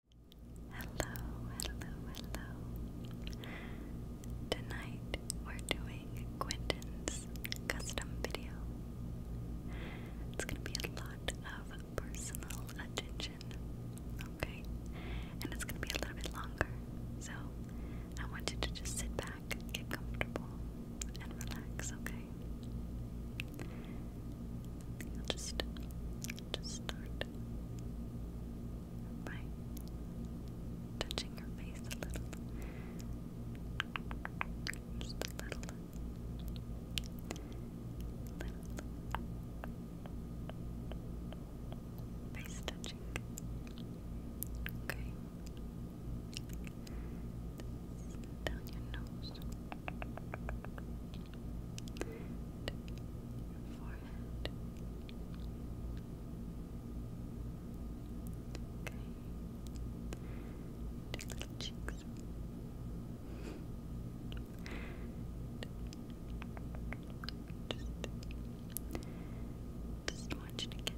Hello, hello, hello. Tonight we're doing Quentin's custom video. It's gonna be a lot of personal attention, okay? And it's gonna be a little bit longer. So I want you to just sit back, get comfortable, and relax, okay? just just start by touching your face a little. Just a little. Little. Face touching. Okay. Down your nose your forehead. Okay. little cheeks. Just, just want you to get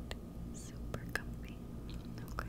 super comfy. Okay.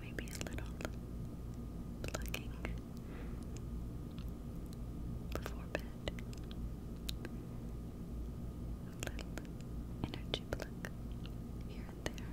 Maybe a little plucking before bed. A little energy pluck here and there.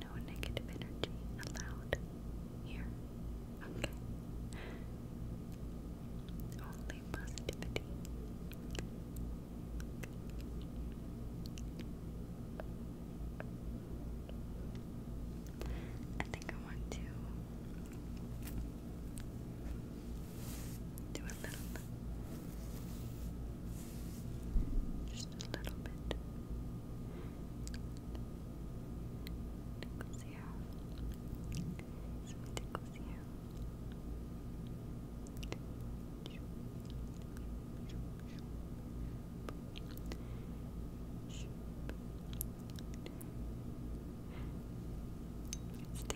No negative energy allowed here. Okay. Only positivity. Okay. I think I want to do a little bit. Just a little bit. Tickles here. Some tickles here. It's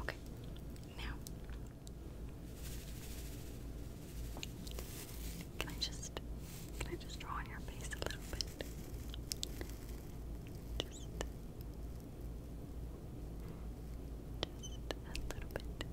Okay, now can I just can I just draw on your face a little bit? Just just a little bit. Okay.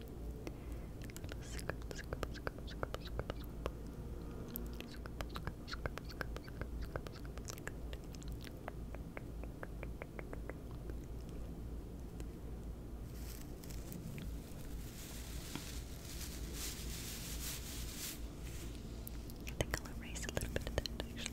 Scribble, scribble, I think I'll erase a little bit of that actually.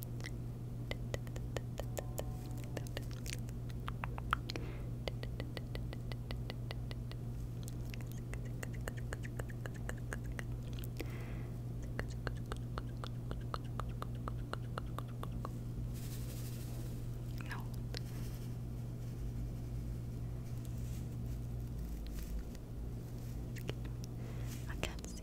No. I can't see.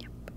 Yep. Okay.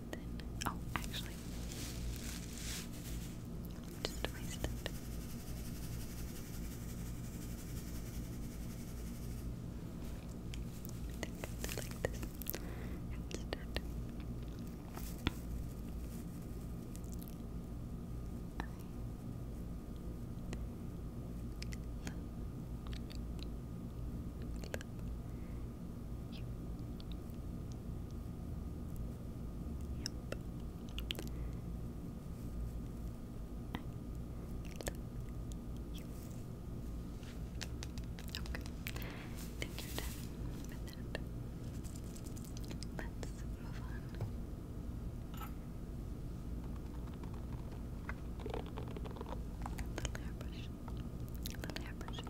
Then, oh, actually, just erase it. I think it's like this instead. I Love. Yep. you. Okay. think you're done Let's move on. The layer an airbrush. All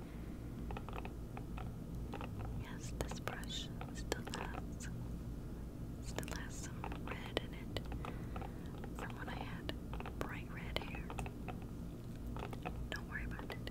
Yes, this brush still has still has some red in it from when I had bright red hair. Don't worry about it.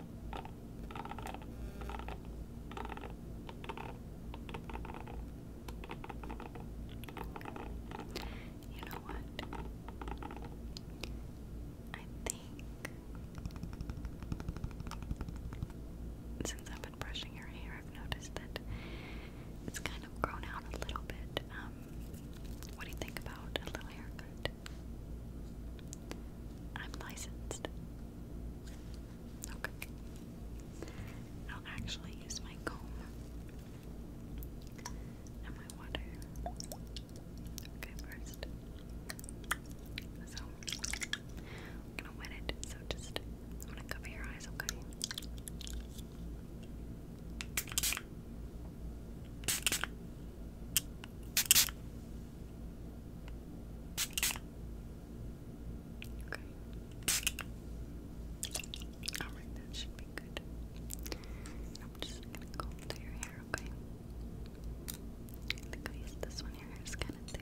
You know what? I think since I've been brushing your hair, I've noticed that it's kind of grown out a little bit. Um, what do you think about a little haircut? I'm licensed. Okay. I'll actually use my comb and my water. Okay, first. So, I'm gonna wet so just, I'm gonna cover your eyes, Okay. Okay. Alright, that should be good. I'm just gonna go to your hair, okay? I think this one, your kinda thick.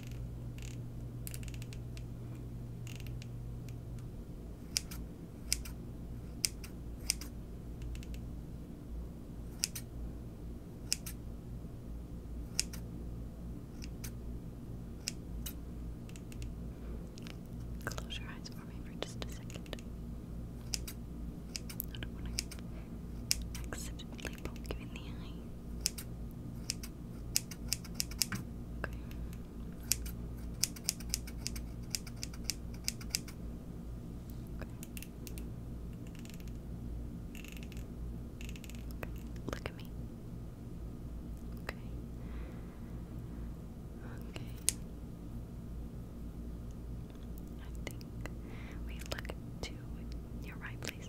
Close your eyes for me for just a second. I don't want to accidentally poke you in the eye. Look at me. Okay. Okay. I think we look to your right, please.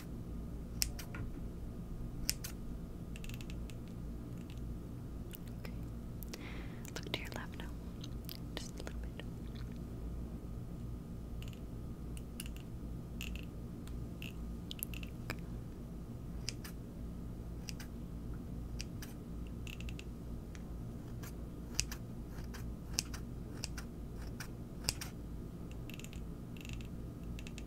Okay. Look to your left now. Just a little bit.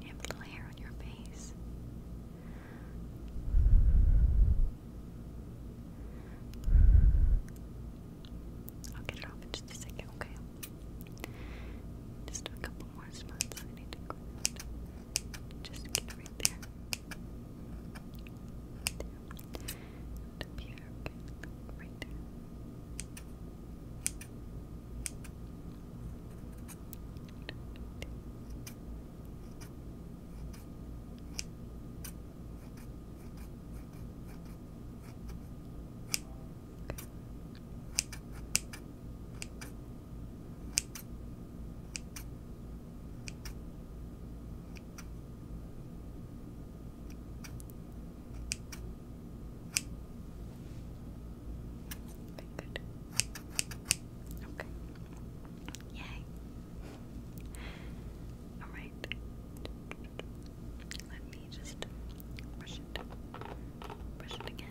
You have a little hair on your face. I'll get it off in just a second, okay? Just a couple more spots I need to go. Just get right there. And up right very good. Okay. Yay. All right. Let me just brush it. Brush it again.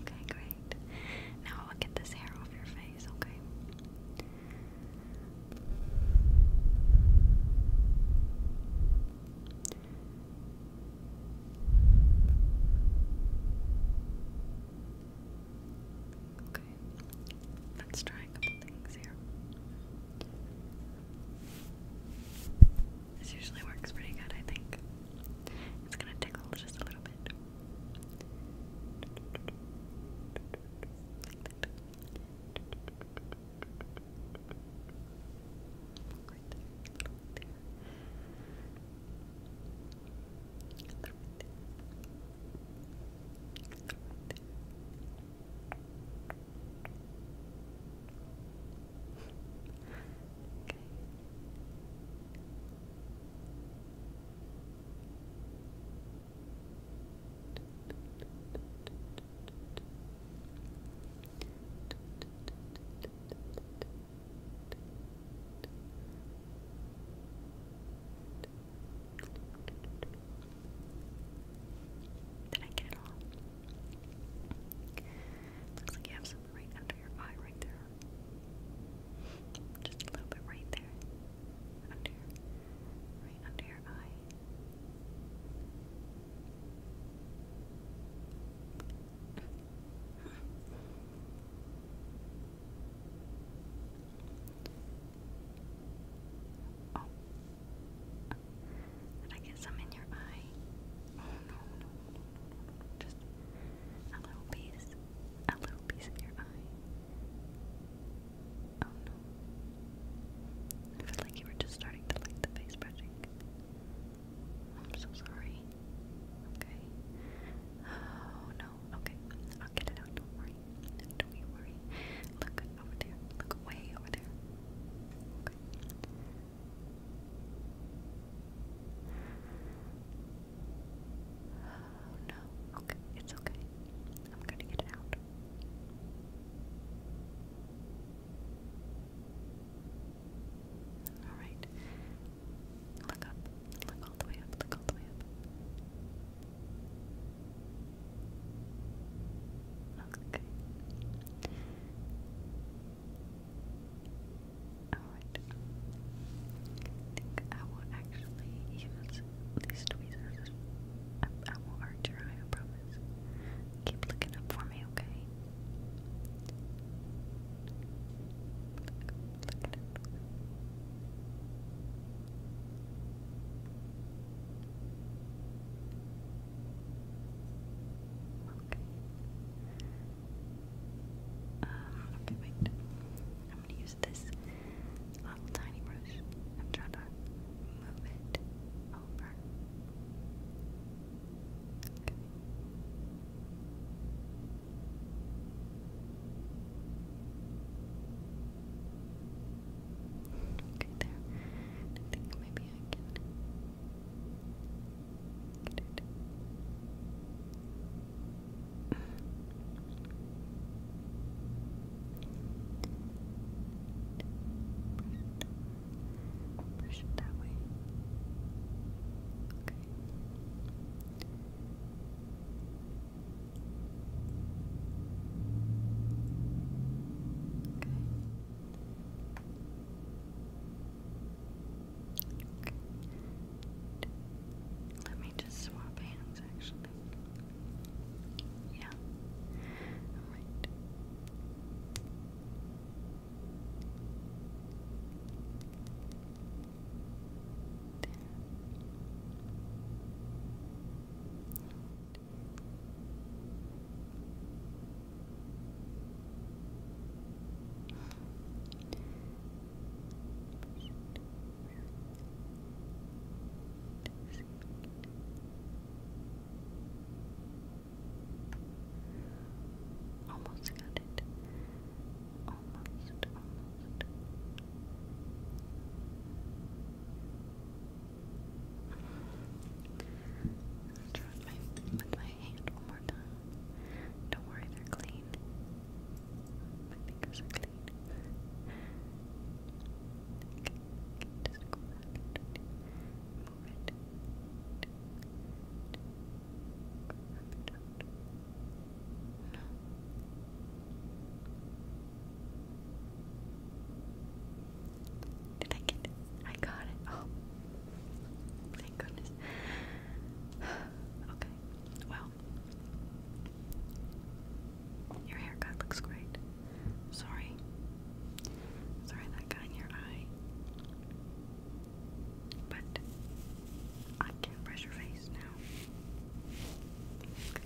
Okay, great. Now I'll get this hair off your face, okay? Okay, let's try a couple things here. This usually works pretty good, I think. It's gonna tickle just a little bit. Okay. Did I get it all? Looks like you have some right under your eye, right there. Just a little bit right there. Under right under your eye. Oh. Did I get some in your eye? no, no, no, no, Just a little piece. A little piece of your eye. Oh no. I feel like you were just starting to like the face brushing. I'm so sorry. Okay. Oh no. Okay. I'll get it out. Don't worry. Don't you worry. Look over there. Look way over there. Okay. Oh no, okay, it's okay. I'm gonna get it out. Alright. Look up. Look all the way up. Look all the way up. Okay. Alright. I think I will actually use these tweezers. I, won't promise. Keep looking up for me, okay? Okay. Um, I'm gonna use this little tiny brush and try to move it over. Okay, there. I think maybe I can Brush it that way. Okay. Okay. Okay. Let me just swap hands actually. Yeah. Alright. Almost got it. Almost, almost. Let's my, with my hand one more time. Don't worry, they're clean. My fingers are clean. Did I get it? I got it. Oh, thank goodness. Okay, well, your haircut looks great. Sorry. Sorry that got in your eye. But I can brush your face now. Just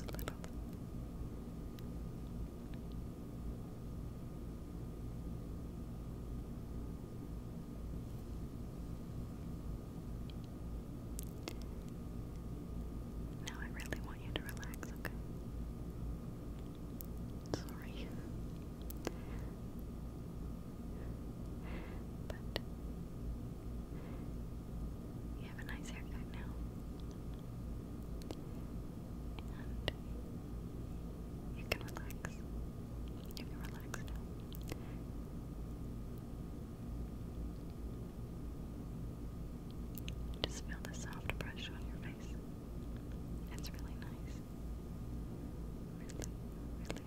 a little. Now I really want you to relax, okay? Sorry. But you have a nice haircut now you can relax. You can relax now. Just feel the soft brush on your face. It's really nice. Really, really nice.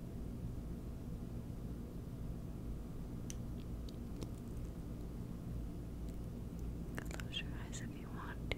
Close your eyes if you want to.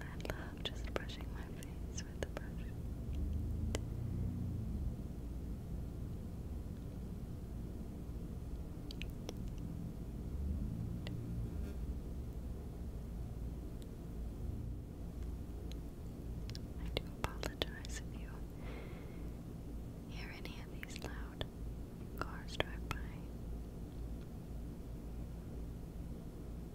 I love just brushing my face with the brush. I do apologize if you hear any of these loud cars drive by.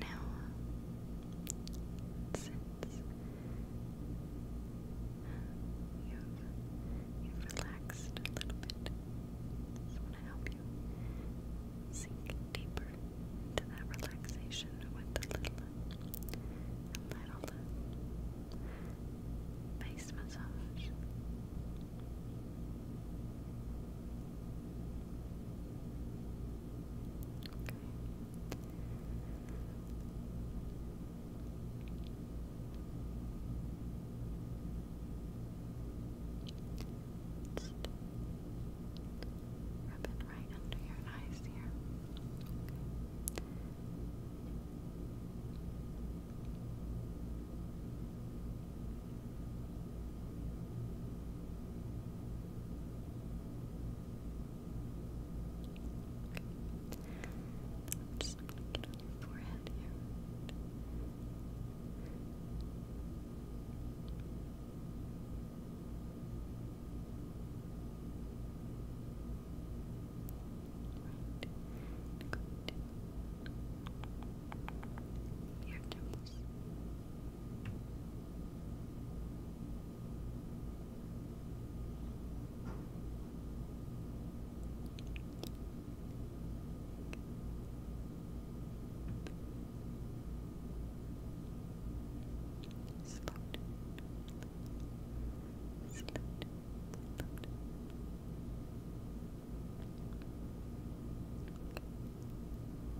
Now, since you've, relaxed a little bit, I want to help you sink deeper into that relaxation with a little a face massage. Just rub it right under your eyes here. I'm just get your forehead here. Right. Your temple. Slow down, slow down, slow down.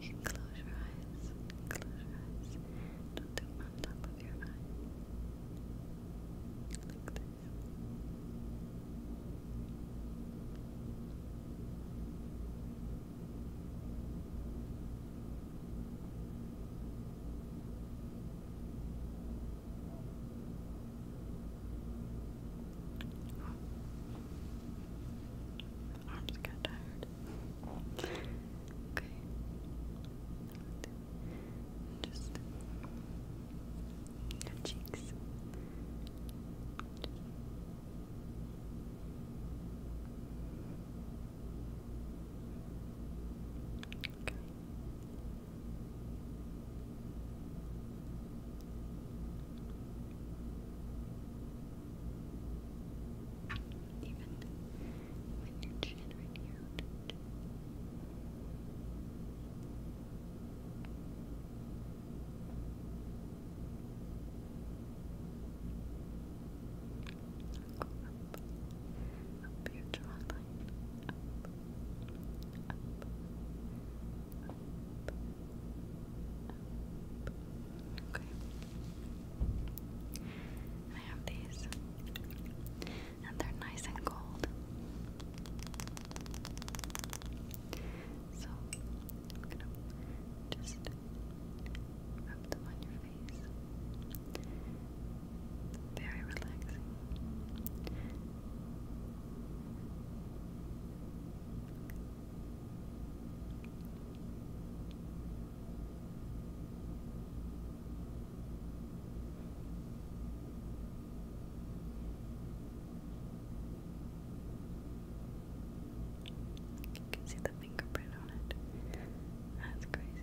You can close your eyes. Close your eyes. Don't do them on top of your eye. Like this. My arms got tired. okay. Just cheeks. Okay. Even you your chin right here up your I have these, and they're nice and cold. So I'm gonna just rub them on your face. Very relaxing. You can see the fingerprint on it. That's crazy.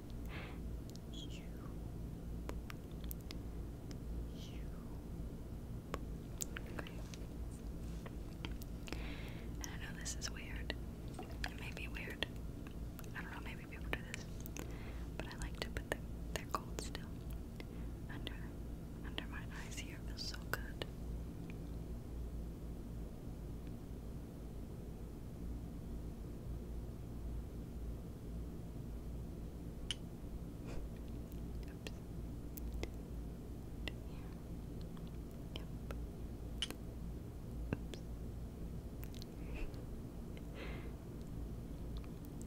Okay. And I know this is weird. It may be weird. I don't know, maybe people do this. But I like to put the, their gold still under under my eyes here. feels so good. Oops. Yep.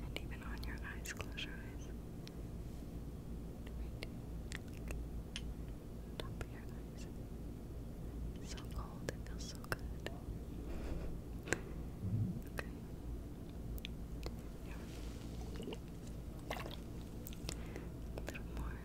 and even on your eyes, close your eyes top of your eyes. so cold, it feels so good. okay. A little more.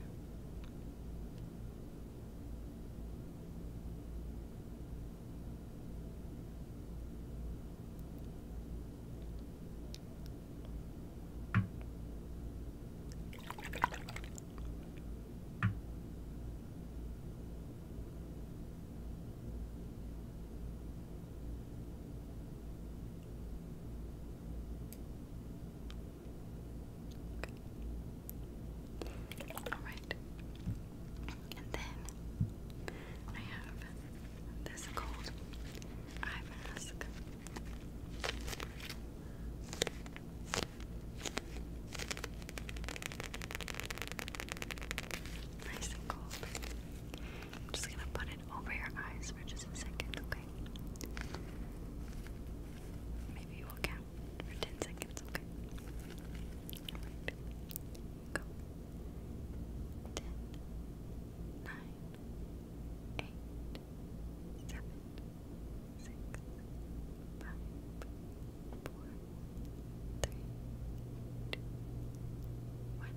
All right. And then I have this gold eye mask. Nice and cold. I'm just gonna put it over your eyes for just a second, okay? Maybe you will count for 10 seconds, okay? Go. 10, six, five, four, three, two, one.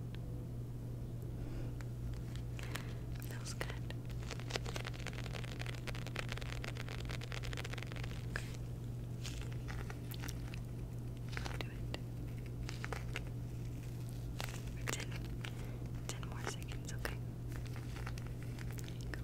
That good. Okay. do it. ten, ten more seconds, okay? There you go. Ten,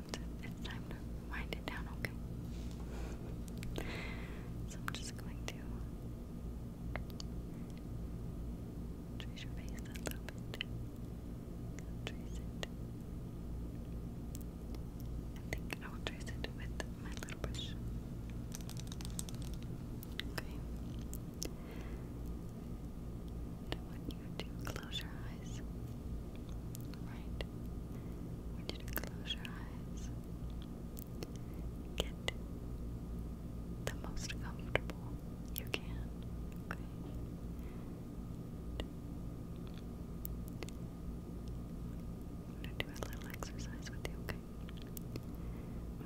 time to it's time to wind it down, okay? So I'm just going to trace your face a little bit. Trace it. I think I will trace it with my little brush. Okay want you to close your eyes. Right. want you to close your eyes. Get the most comfortable you can. Okay. I'm gonna do a little exercise with you, okay?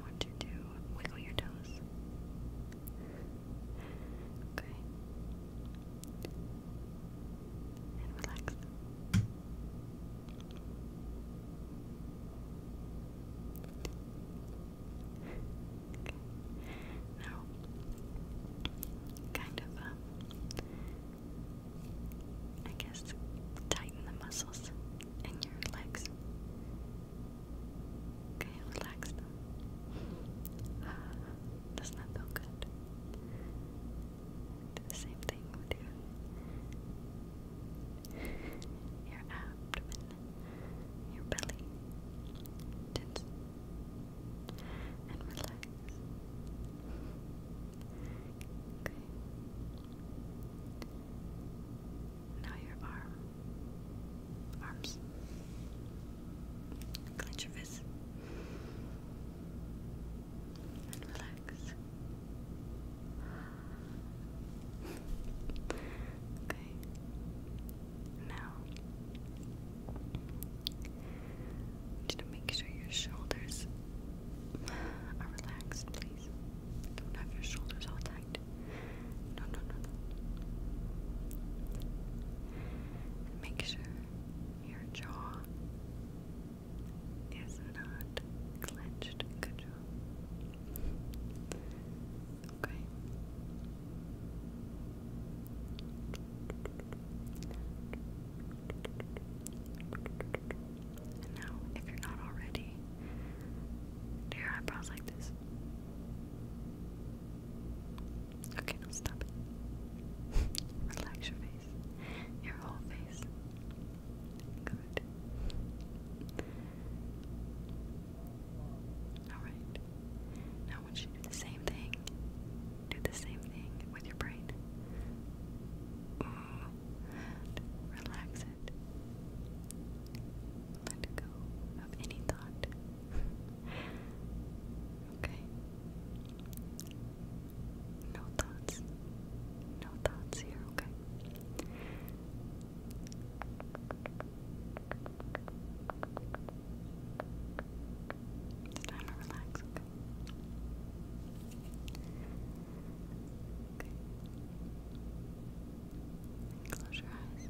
want you to wiggle your toes. Okay and relax. Now, kind of, um, I guess, tighten the muscles in your legs. Okay, relax uh, doesn't that feel good? same thing with your, your abdomen, your belly. Tense and relax. Okay. Now your arm, arms. Clench your fist. And relax. Okay. Now, I make sure your shoulders are relaxed, please. Don't have your shoulders all tight. No, no, no, make sure your jaw is not clenched. Good job. Okay. And now, if you're not already, do your eyebrows like this. Okay, stop it. Relax your face. Your whole face. Good. Alright. Now I you do the same thing. Do the same thing with your brain. Ooh. Relax it. Let go of any thought. okay. No thoughts. No thoughts here, okay? It's time to relax, okay? close your eyes.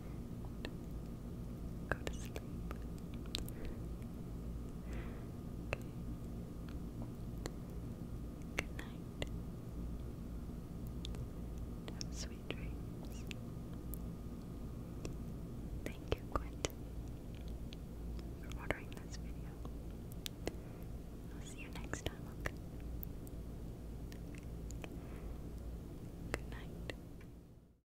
Go to sleep. Okay. Good night. sweet dreams. Thank you, Quentin, for ordering this video. I'll see you next time, okay? Good night.